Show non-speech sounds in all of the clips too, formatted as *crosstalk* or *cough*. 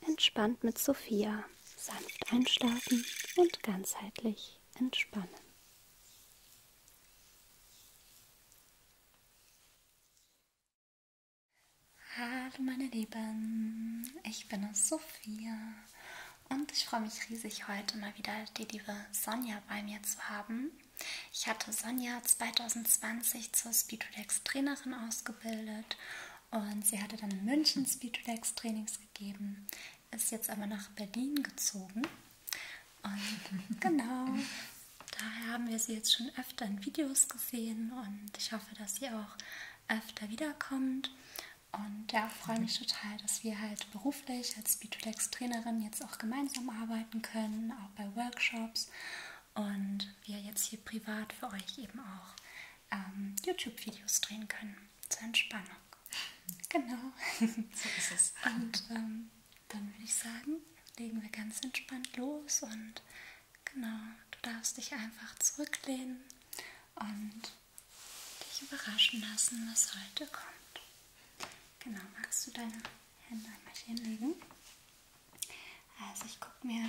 Entspannt mit Sophia. Sanft einschlafen und ganzheitlich entspannen. Hallo meine Lieben, ich bin Sophia und ich freue mich riesig heute mal wieder die liebe Sonja bei mir zu haben. Ich hatte Sonja 2020 zur Speedrelax Trainerin ausgebildet und sie hatte dann in München Speedrelax Trainings gegeben, ist jetzt aber nach Berlin gezogen. Und *laughs* genau, daher haben wir sie jetzt schon öfter in Videos gesehen und ich hoffe, dass sie auch öfter wiederkommt. Und ja, freue mich total, dass wir halt beruflich als Speedrelax-Trainerin jetzt auch gemeinsam arbeiten können, auch bei Workshops und wir jetzt hier privat für euch eben auch ähm, YouTube-Videos drehen können zur Entspannung. Genau. So ist es. *laughs* Und ähm, dann würde ich sagen, legen wir ganz entspannt los und genau, du darfst dich einfach zurücklehnen und dich überraschen lassen, was heute kommt. Genau, magst du deine Hände einmal hinlegen? Also ich gucke mir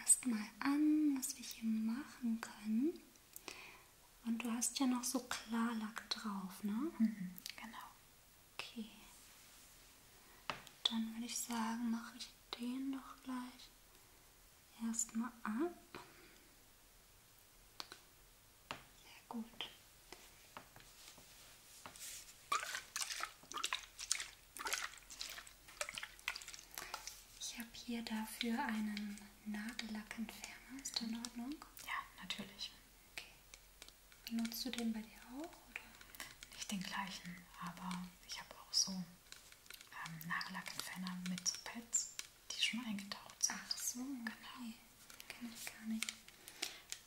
erstmal an, was wir hier machen können. Und du hast ja noch so Klarlack drauf, ne? Mhm, genau. Okay. Dann würde ich sagen, mache ich den doch gleich erstmal ab. Sehr gut. Ich habe hier dafür einen Nagellackentferner. Ist der in Ordnung? Ja, natürlich. Okay. Benutzt du den bei dir auch? Oder? Nicht den gleichen, aber ich habe auch so ähm, Nagellackentferner mit so Pads, die schon eingetaucht sind. Ach so, genau. okay. genau. Kenne ich gar nicht.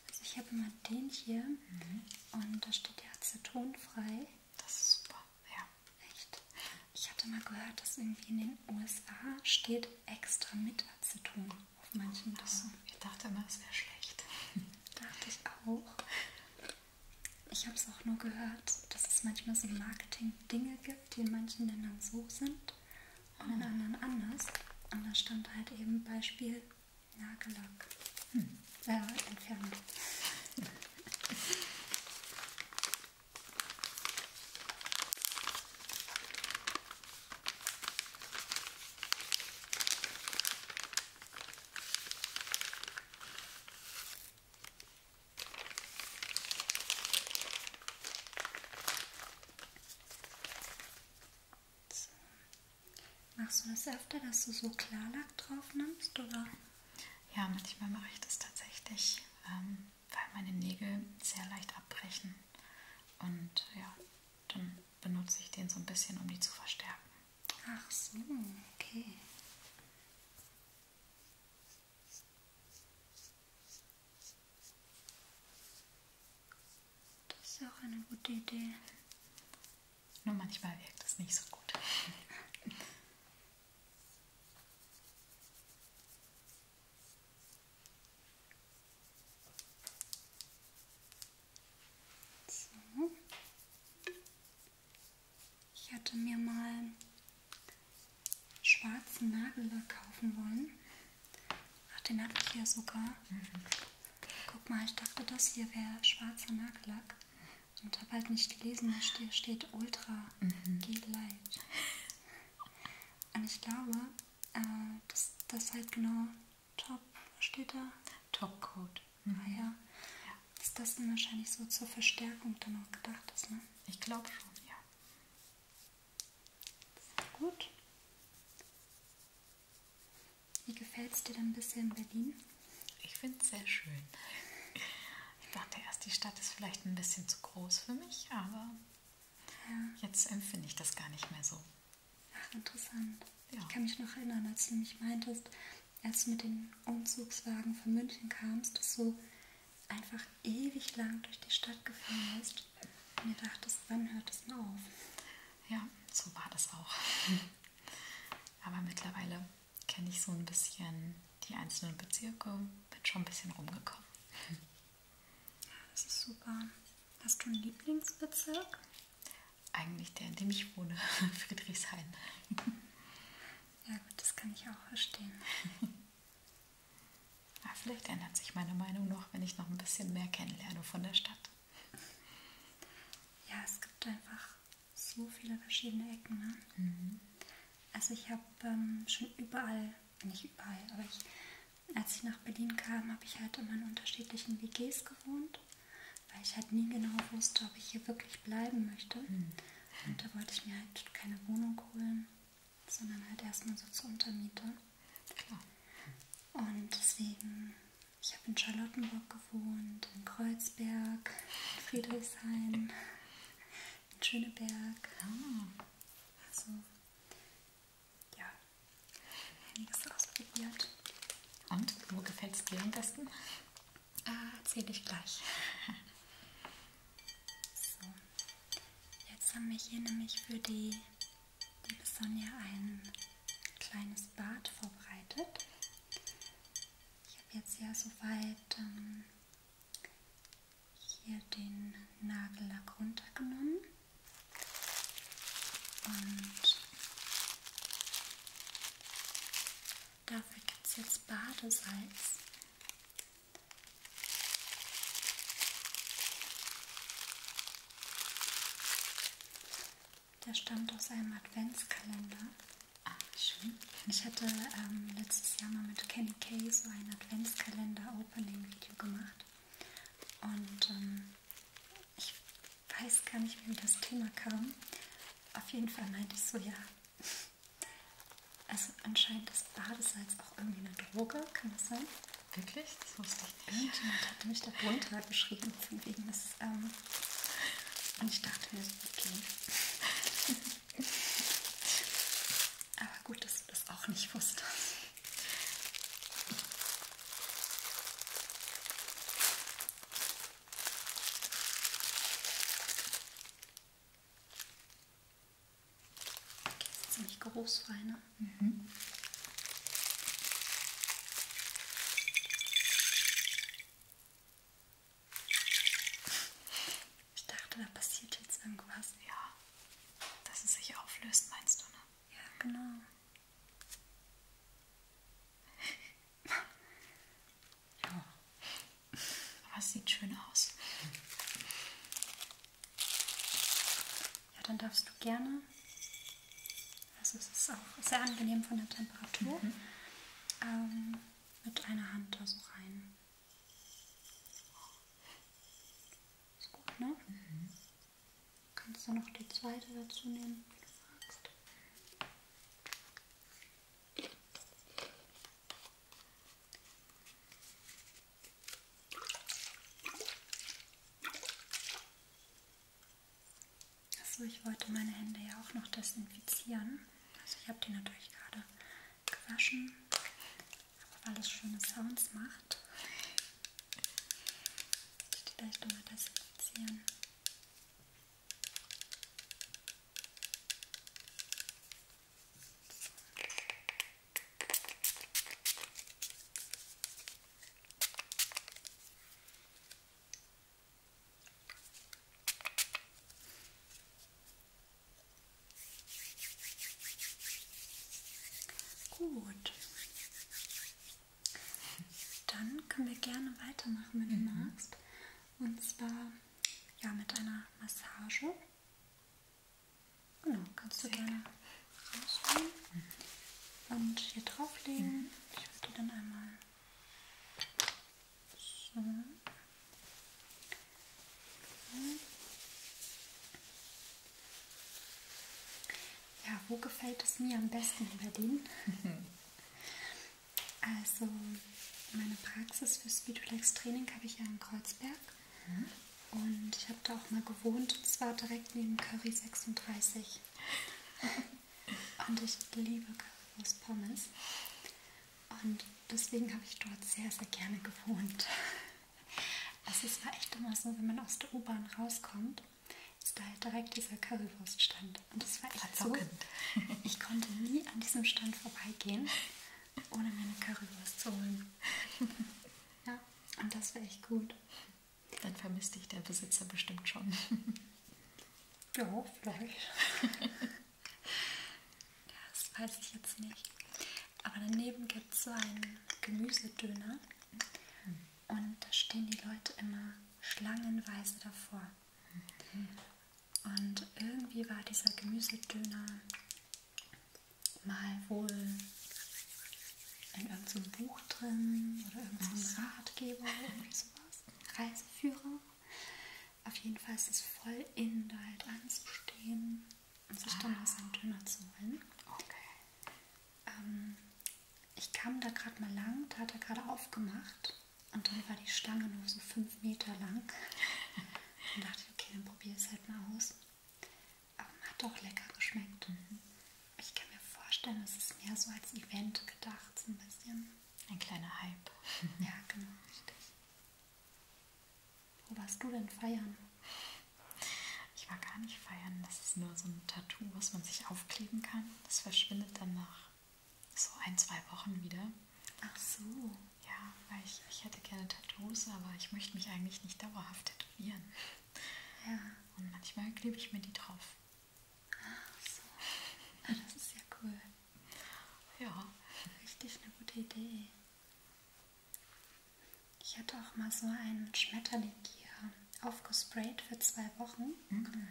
Also ich habe immer den hier mhm. und da steht ja acetonfrei. Das ist super, ja. Echt? Ich hatte mal gehört, dass irgendwie in den USA steht extra mit Aceton auf manchen Dosen. Oh, ich dachte mal, es wäre schlecht. *laughs* dachte ich auch. Ich habe es auch nur gehört, dass es manchmal so Marketing-Dinge gibt, die in manchen Ländern so sind und in ah. anderen anders. Und da stand halt eben Beispiel Nagellack. Hm. Äh, Entferner. So. Machst du das öfter, dass du so Klarlack drauf nimmst, oder? Ja, manchmal mache ich das tatsächlich, ähm, weil meine Nägel sehr leicht abbrechen. Und ja, dann benutze ich den so ein bisschen, um die zu verstärken. Ach so, okay. Das ist auch eine gute Idee. Nur manchmal wirkt es nicht so gut. So. Ich hatte mir mal schwarzen Nagellack kaufen wollen. Ach, den hatte ich ja sogar. Mhm. Guck mal, ich dachte, das hier wäre schwarzer Nagellack und habe halt nicht gelesen, hier steht Ultra mhm. Gel Light. Und ich glaube, äh, das, das halt genau Top, was steht da? Topcoat. Ah, mhm. Ah, ja. Dass das dann wahrscheinlich so zur Verstärkung dann auch gedacht ist, ne? Ich glaube schon, ja. Sehr gut. Wie gefällt es dir denn bisher in Berlin? Ich finde es sehr schön. Ich dachte erst, die Stadt ist vielleicht ein bisschen zu groß für mich, aber ja. jetzt empfinde ich das gar nicht mehr so. Ach, interessant. Ja. Ich kann mich noch erinnern, als du mich meintest, als du mit dem Umzugswagen von München kamst, dass du einfach ewig lang durch die Stadt gefahren bist und dir dachtest, wann hört es denn auf? Ja, so war das auch. *laughs* Aber mittlerweile kenne ich so ein bisschen die einzelnen Bezirke, bin schon ein bisschen rumgekommen. Ja, das ist super. Hast du einen Lieblingsbezirk? Eigentlich der, in dem ich wohne, *laughs* Friedrichshain. Ja gut, das kann ich auch verstehen. *laughs* Ja, vielleicht ändert sich meine Meinung noch, wenn ich noch ein bisschen mehr kennenlerne von der Stadt. Ja, es gibt einfach so viele verschiedene Ecken. Ne? Mhm. Also ich habe ähm, schon überall, nicht überall, aber ich, als ich nach Berlin kam, habe ich halt immer in unterschiedlichen WGs gewohnt, weil ich halt nie genau wusste, ob ich hier wirklich bleiben möchte. Mhm. Und da wollte ich mir halt keine Wohnung holen, sondern halt erstmal so zur Untermiete. Klar. Und deswegen ich habe in Charlottenburg gewohnt, in Kreuzberg, in Friedrichshain, in Schöneberg. Ah. Also, ja, einiges ausprobiert. Und wo gefällt es dir am besten? Ah, erzähle ich gleich. so, jetzt haben wir hier nämlich für die, die Besonja einen kleines Bad vorbereitet. Ich habe jetzt ja soweit ähm, hier den Nagellack runtergenommen und dafür gibt es jetzt Badesalz. Der stammt aus einem Adventskalender. Ah, schön. Ich hatte ähm, letztes Jahr mal mit Kenny Kay so ein Adventskalender-Opening-Video gemacht. Und ähm, ich weiß gar nicht, wie das Thema kam. Auf jeden Fall meinte ich so, ja. *laughs* Also anscheinend ist Badesalz auch irgendwie eine Droge, kann das sein? Wirklich? Das wusste ich Irgendjemand hatte mich da drunter geschrieben, von wegen des. Ähm, und ich dachte mir so, okay. *laughs* Aber gut, dass du das auch nicht wusstest. Okay, ist ziemlich groß, Weine. Mhm. Ich dachte, da passiert jetzt irgendwas. Ja, dass es sich auflöst, meinst du, ne? Ja, genau. ja. Aber es sieht schön aus. Ja, dann darfst du gerne also es ist auch sehr angenehm von der Temperatur. Mhm. Ähm, mit einer Hand da so rein. Ist gut, ne? Mhm. Kannst du noch die zweite dazu nehmen, wenn du magst. Also ich wollte meine Hände ja auch noch desinfizieren. Also ich habe die natürlich gerade gewaschen, aber weil es schöne Sounds macht, muss ich die gleich nochmal desinfizieren. So. Gut. Dann können wir gerne weitermachen, wenn du mhm. magst. Und zwar ja mit einer Massage. Genau, kannst du Sehr gerne rausholen und hier drauflegen. Ich würde die dann einmal so. Ja, wo gefällt es mir am besten in Berlin? *laughs* also meine Praxis für Speedrelax Training habe ich ja in Kreuzberg. Mhm. Und ich habe da auch mal gewohnt, und zwar direkt neben Curry 36. *laughs* Und ich liebe Currywurst Pommes. Und deswegen habe ich dort sehr, sehr gerne gewohnt. *laughs* Also es war echt immer so, wenn man aus der U-Bahn rauskommt, ist da halt direkt dieser Currywurststand. Und das war echt so. *laughs* Ich konnte nie an diesem Stand vorbeigehen, ohne mir eine Currywurst zu holen. Ja, und das war echt gut. Dann vermisst dich der Besitzer bestimmt schon. ja, vielleicht. das weiß ich jetzt nicht. Aber daneben gibt es so einen Gemüsedöner. Mhm. Und da stehen die Leute immer schlangenweise davor. Mhm. Und irgendwie war dieser Gemüsedöner mal wohl in irgendeinem Buch drin oder irgendeinem so Ratgeber oder sowas. Reiseführer. Auf jeden Fall ist es voll in, da halt anzustehen und sich ah. dann was an Döner zu holen. Okay. Ähm, ich kam da gerade mal lang, da hat er gerade aufgemacht und dann war die Stange nur so fünf Meter lang. und *laughs* dachte ich, okay, dann probiere es halt mal aus. Aber hat doch lecker geschmeckt. Mhm. Ich kann mir vorstellen, es ist mehr so als Event gedacht, so ein bisschen. Ein kleiner Hype. ja, genau, richtig. Wo warst du denn feiern? Ich war gar nicht feiern. Das ist nur so ein Tattoo, was man sich aufkleben kann. Das verschwindet dann nach so ein, zwei Wochen wieder. Ach so. Ja, weil ich, ich hätte gerne Tattoos, aber ich möchte mich eigentlich nicht dauerhaft tätowieren. Ja. Und manchmal klebe ich mir die drauf. Ach so. Ah, das ist ja cool. Ja. Richtig eine gute Idee. Ich hatte auch mal so einen Schmetterling hier aufgesprayt für zwei Wochen. Mhm.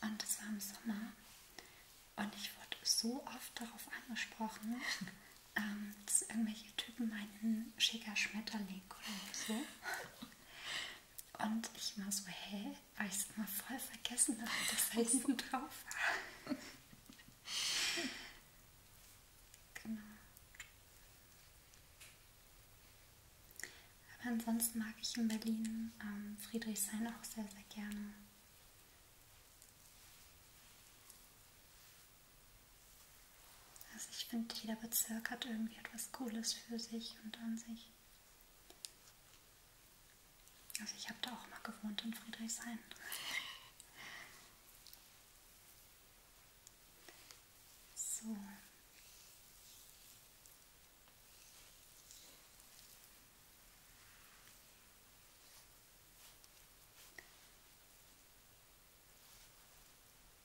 Und das war im Sommer. Und ich wurde so oft darauf angesprochen, *laughs* ähm, dass irgendwelche Typen meinen schicker Schmetterling oder so. Und ich war so, hä? Habe ich es mal voll vergessen, dass das da hinten drauf war. genau. Aber ansonsten mag ich in Berlin ähm, Friedrichshain auch sehr, sehr gerne. Also ich finde, jeder Bezirk hat irgendwie etwas Cooles für sich und an sich. Also ich habe da auch mal gewohnt in Friedrichshain. So.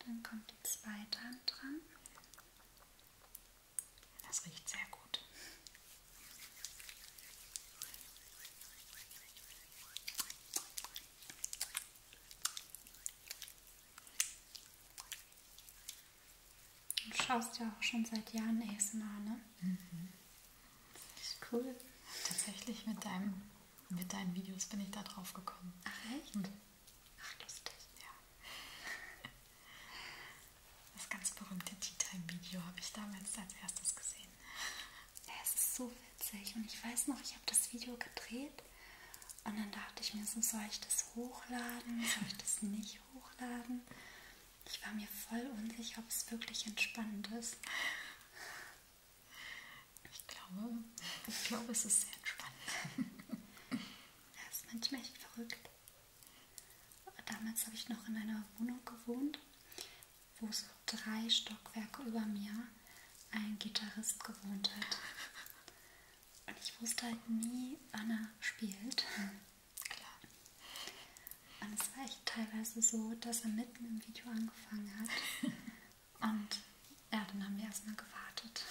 Dann kommt die zweite Hand dran. Das riecht sehr gut. Du schaust ja auch schon seit Jahren ASMR, ne? Mhm. Das ist cool. Tatsächlich mit deinem mit deinen Videos bin ich da drauf gekommen. Ach echt? Hm. Ach lustig. Ja. Das ganz berühmte Tea Time Video habe ich damals als erstes gesehen. Ja, es ist so witzig und ich weiß noch, ich habe das Video gedreht und dann dachte ich mir so, soll ich das hochladen, soll ich das nicht hochladen? Ich war mir voll unsicher, ob es wirklich entspannend ist. Ich glaube, ich glaube, es ist sehr entspannend. *laughs* Das ist manchmal echt verrückt. Damals habe ich noch in einer Wohnung gewohnt, wo so drei Stockwerke über mir ein Gitarrist gewohnt hat. Und ich wusste halt nie, wann er spielt. Klar. Und es war echt teilweise so, dass er mitten im Video angefangen hat. *laughs* Und ja, dann haben wir erstmal gewartet.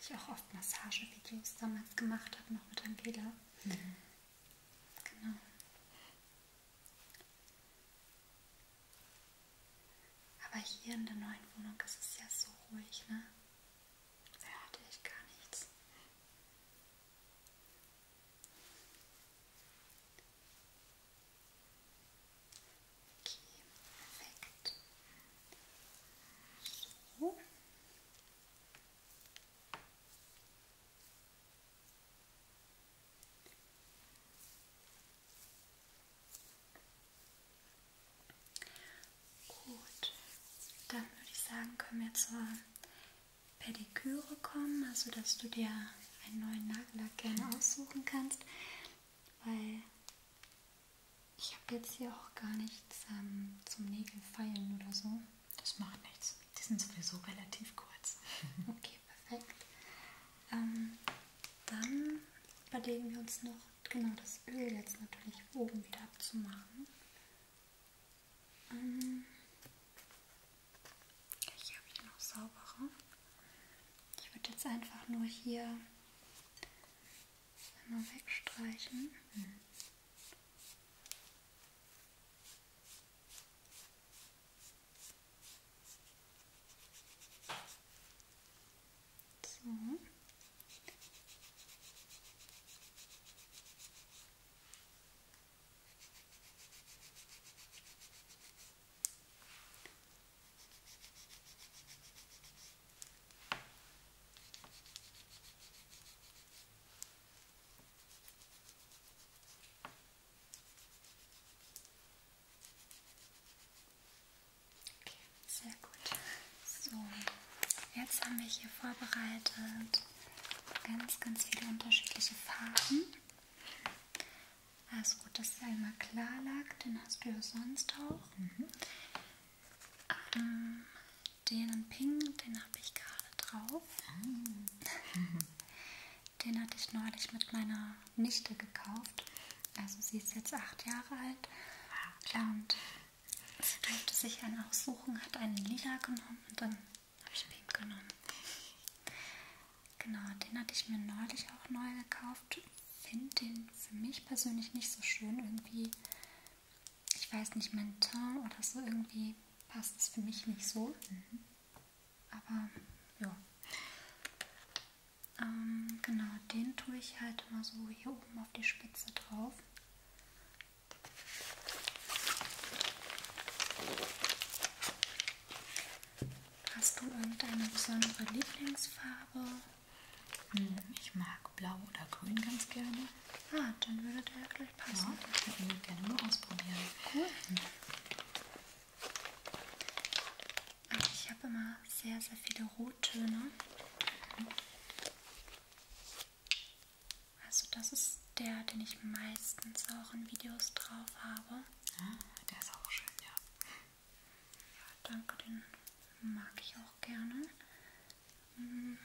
Ich auch oft Massagevideos damals gemacht habe, noch mit Angela. Mhm. Genau. Aber hier in der neuen Wohnung ist es ja so ruhig, ne? Da hatte ich gar nichts. Okay, perfekt. So. Gut, dann würde ich sagen, können wir zur Pediküre kommen, also dass du dir einen neuen Nagellack gerne aussuchen kannst weil ich habe jetzt hier auch gar nichts ähm, zum Nägelfeilen oder so. Das macht nichts. Die sind sowieso relativ kurz. *laughs* okay, perfekt. Ähm, dann überlegen wir uns noch genau das Öl jetzt natürlich oben wieder abzumachen. Ähm, hier habe ich noch saubere. Ich würde jetzt einfach nur hier einmal wegstreichen. Mhm. So. Okay, sehr gut. So, jetzt haben wir hier vorbereitet ganz, ganz viele unterschiedliche Farben. Also gut, dass es einmal klar lag, den hast du ja sonst auch. Mhm. Ähm, den in Pink, den habe ich gerade drauf. Mhm. den hatte ich neulich mit meiner Nichte gekauft. Also sie ist jetzt acht Jahre alt. Ja, ah. und sie durfte sich einen aussuchen, hat einen lila genommen und dann habe ich Pink genommen. Genau, den hatte ich mir neulich auch neu gekauft. Finde den für mich persönlich nicht so schön. Irgendwie, ich weiß nicht, mein Ton oder so, irgendwie passt es für mich nicht so. Mhm. Aber ja. Ähm, genau, den tue ich halt immer so hier oben auf die Spitze drauf. Hast du irgendeine besondere Lieblingsfarbe? Hm, ich mag blau oder grün ganz gerne. Ah, dann würde der ja gleich passen. Ja, ich würde ihn gerne mal ausprobieren. Cool. Hm. Ach, ich habe immer sehr, sehr viele Rottöne. Mhm. Also das ist der, den ich meistens auch in Videos drauf habe. Ja, ah, der ist auch schön, ja. Ja, danke, den mag ich auch gerne. Hm.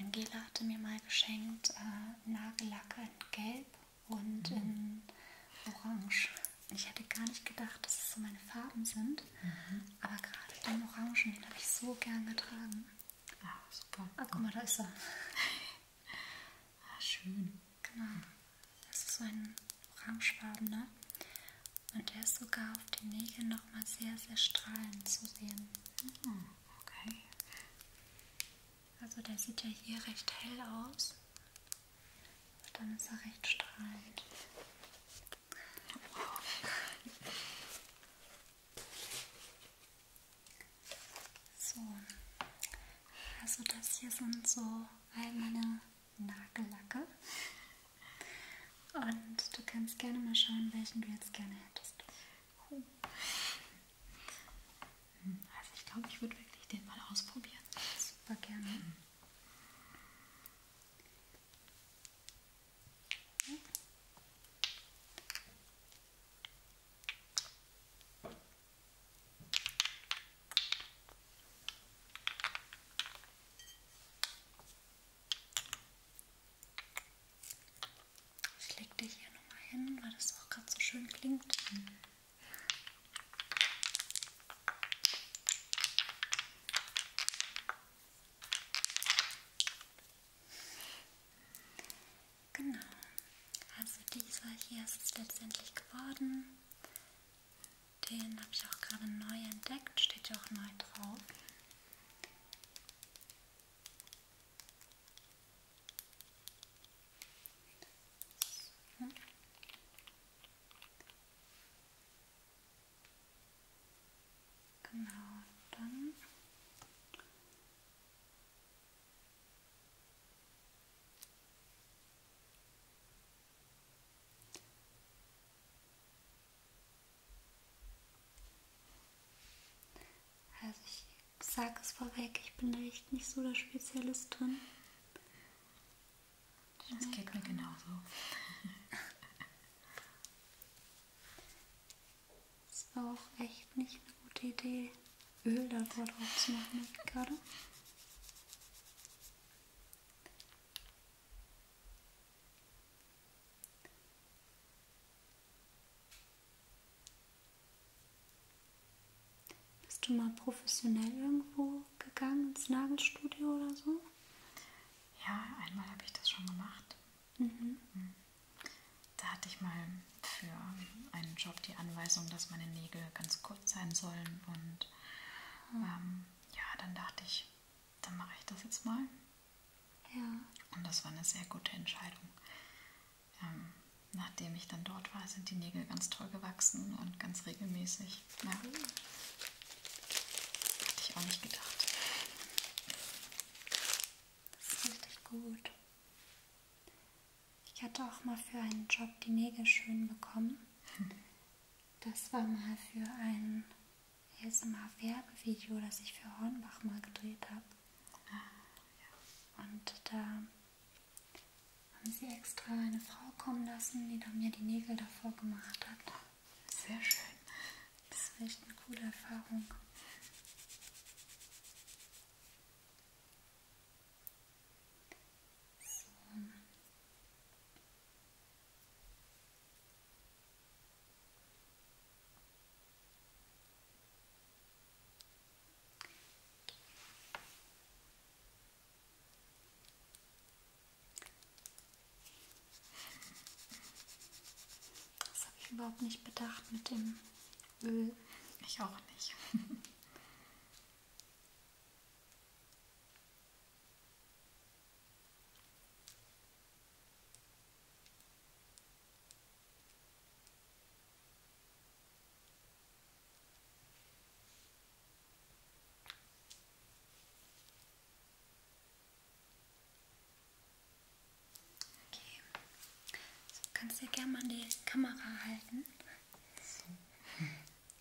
Angela hatte mir mal geschenkt äh, Nagellacke in Gelb und mhm. in Orange. Ich hätte gar nicht gedacht, dass es so meine Farben sind, mhm. aber gerade den Orangen, den habe ich so gern getragen. Ah, super. Ah, guck mal, da ist er. *laughs* Ah, schön, genau. Das ist so ein orangefarbener. Und der ist sogar auf den Nägeln nochmal sehr, sehr strahlend zu sehen. Hm, okay. Also der sieht ja hier recht hell aus. Aber dann ist er recht strahlend. Wow. So, also das hier sind so all meine Nagellacke. Und du kannst gerne mal schauen, welchen du jetzt gerne hättest. Oh. Also ich glaube, ich würde wirklich den mal ausprobieren. Super gerne. Mhm. Ich lege dich hier nochmal hin, weil das auch gerade so schön klingt. Mhm. Genau. Also dieser hier ist es letztendlich geworden. Den habe ich auch gerade neu entdeckt, steht ja auch neu drauf. So. Genau, dann also ich sage es vorweg, ich bin da echt nicht so der Spezialist drin. Das geht mir genauso. *laughs* Das ist aber auch echt nicht eine gute Idee, Öl darüber drauf zu machen gerade. Bist du mal professionell irgendwo gegangen ins Nagelstudio oder so? Ja, einmal habe ich das schon gemacht. Mhm. Mhm. Da hatte ich mal für einen Job die Anweisung, dass meine Nägel ganz kurz sein sollen. Und ähm, ja, dann dachte ich, dann mache ich das jetzt mal. Ja. Und das war eine sehr gute Entscheidung. Ähm, nachdem ich dann dort war, sind die Nägel ganz toll gewachsen und ganz regelmäßig. Ja. Cool. Hatte ich auch nicht gedacht. Das ist richtig gut. Ich hatte auch mal für einen Job die Nägel schön bekommen. Das war mal für ein ASMR-Werbevideo, das ich für Hornbach mal gedreht habe. Ah, ja. Und da haben sie extra eine Frau kommen lassen, die da mir die Nägel davor gemacht hat. Sehr schön. Das war echt eine coole Erfahrung. So. Das habe ich überhaupt nicht bedacht mit dem Öl. Ich auch nicht. Okay. So, kannst du ja gerne mal an die Kamera halten. So.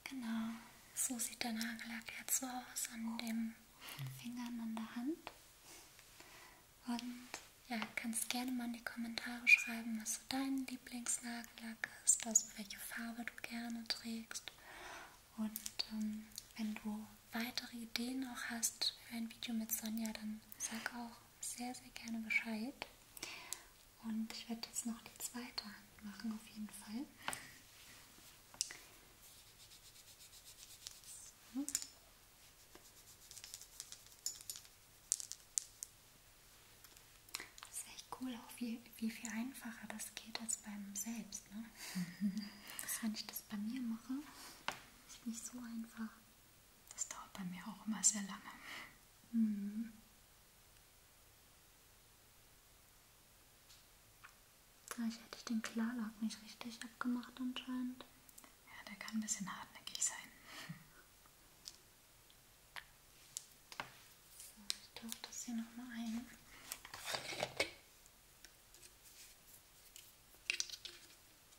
Genau. So sieht der Nagellack jetzt so aus an den Fingern an der Hand. Und ja, kannst gerne mal in die Kommentare schreiben, was so dein Lieblingsnagellack ist, also welche Farbe du gerne trägst. Und ähm, wenn du weitere Ideen noch hast für ein Video mit Sonja, dann sag auch sehr, sehr gerne Bescheid. Und ich werde jetzt noch die zweite Hand machen, auf jeden Fall. So. Das ist echt cool, auch wie, wie viel einfacher das geht als beim Selbst. Ne? *laughs* dass wenn ich das bei mir mache, ist nicht so einfach. Das dauert bei mir auch immer sehr lange. Mhm. Vielleicht ah, hätte ich den Klarlack nicht richtig abgemacht anscheinend. Ja, der kann ein bisschen hartnäckig sein. So, ich tauche das hier nochmal ein.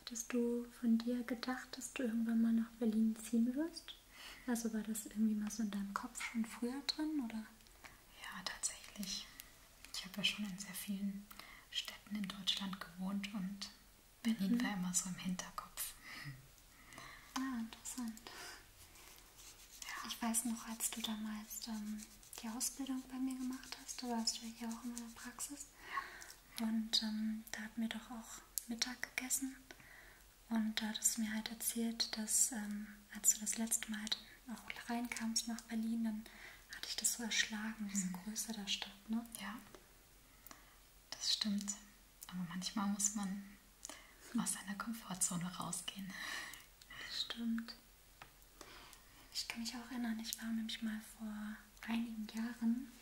Hattest du von dir gedacht, dass du irgendwann mal nach Berlin ziehen wirst? Also war das irgendwie mal so in deinem Kopf schon früher drin, oder? Ja, tatsächlich. Ich habe ja schon in sehr vielen Städten in Deutschland gewohnt und Berlin mhm. war immer so im Hinterkopf. Ah, interessant. Ja. Ich weiß noch, als du damals ähm, die Ausbildung bei mir gemacht hast, da warst du ja auch in meiner Praxis. Und ähm, da hatten wir doch auch Mittag gegessen. Und da hattest du mir halt erzählt, dass ähm, als du das letzte Mal halt auch reinkamst nach Berlin, dann hatte ich das so erschlagen, diese mhm. Größe der Stadt. Ne? Ja das stimmt. Aber manchmal muss man aus seiner Komfortzone rausgehen. Stimmt. Ich kann mich auch erinnern, ich war nämlich mal vor einigen Jahren,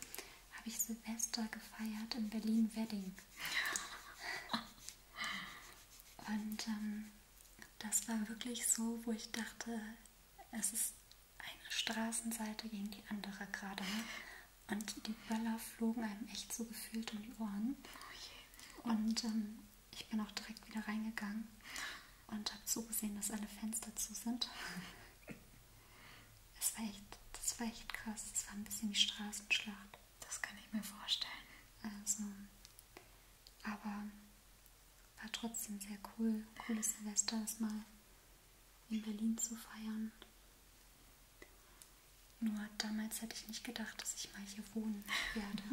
habe ich Silvester gefeiert in Berlin-Wedding. *laughs* Und ähm, das war wirklich so, wo ich dachte, es ist eine Straßenseite gegen die andere gerade. Ne? und die Böller flogen einem echt so gefühlt um die Ohren. Oh je. Und ähm, ich bin auch direkt wieder reingegangen und habe zugesehen, dass alle Fenster zu sind. *laughs* Es war echt, das war echt krass. Das war ein bisschen wie Straßenschlacht. Das kann ich mir vorstellen. Also, aber war trotzdem sehr cool. Cooles Silvester, das mal in Berlin zu feiern. Nur damals hätte ich nicht gedacht, dass ich mal hier wohnen werde. *laughs*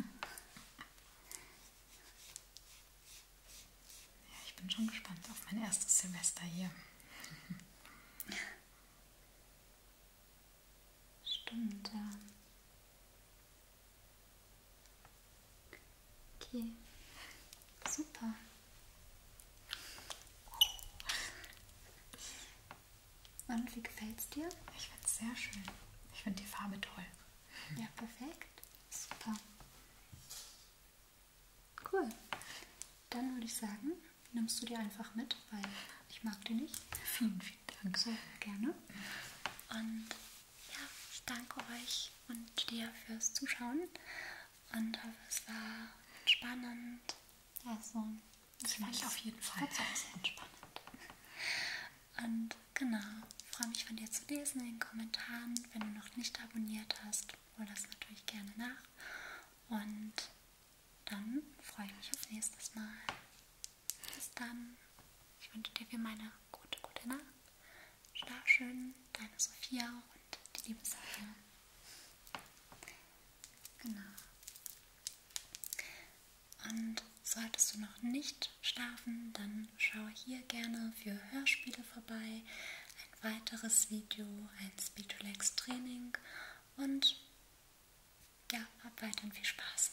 Ja, ich bin schon gespannt auf mein erstes Semester hier. Stimmt, ja. Okay. Super. Und wie gefällt es dir? Ich finde es sehr schön. Ich finde die Farbe toll. Ja, perfekt. Super. Cool. Dann würde ich sagen, nimmst du die einfach mit, weil ich mag die nicht. Vielen, vielen Dank. Sehr gerne. Und ja, ich danke euch und dir fürs Zuschauen und hoffe, es war entspannend. Also, das fand ich auf jeden Fall auch sehr entspannend. Und genau, freue mich von dir zu lesen in den Kommentaren, wenn du noch nicht abonniert hast, hol das natürlich gerne nach. Und dann freue ich mich auf nächstes Mal. Bis dann. Ich wünsche dir wie meine gute, gute Nacht. Schlaf schön, deine Sophia und die liebe Sarah. Genau. Und solltest du noch nicht schlafen, dann schau hier gerne für Hörspiele vorbei, ein weiteres Video, ein Speedrelax Training und ja, hab weiterhin viel Spaß.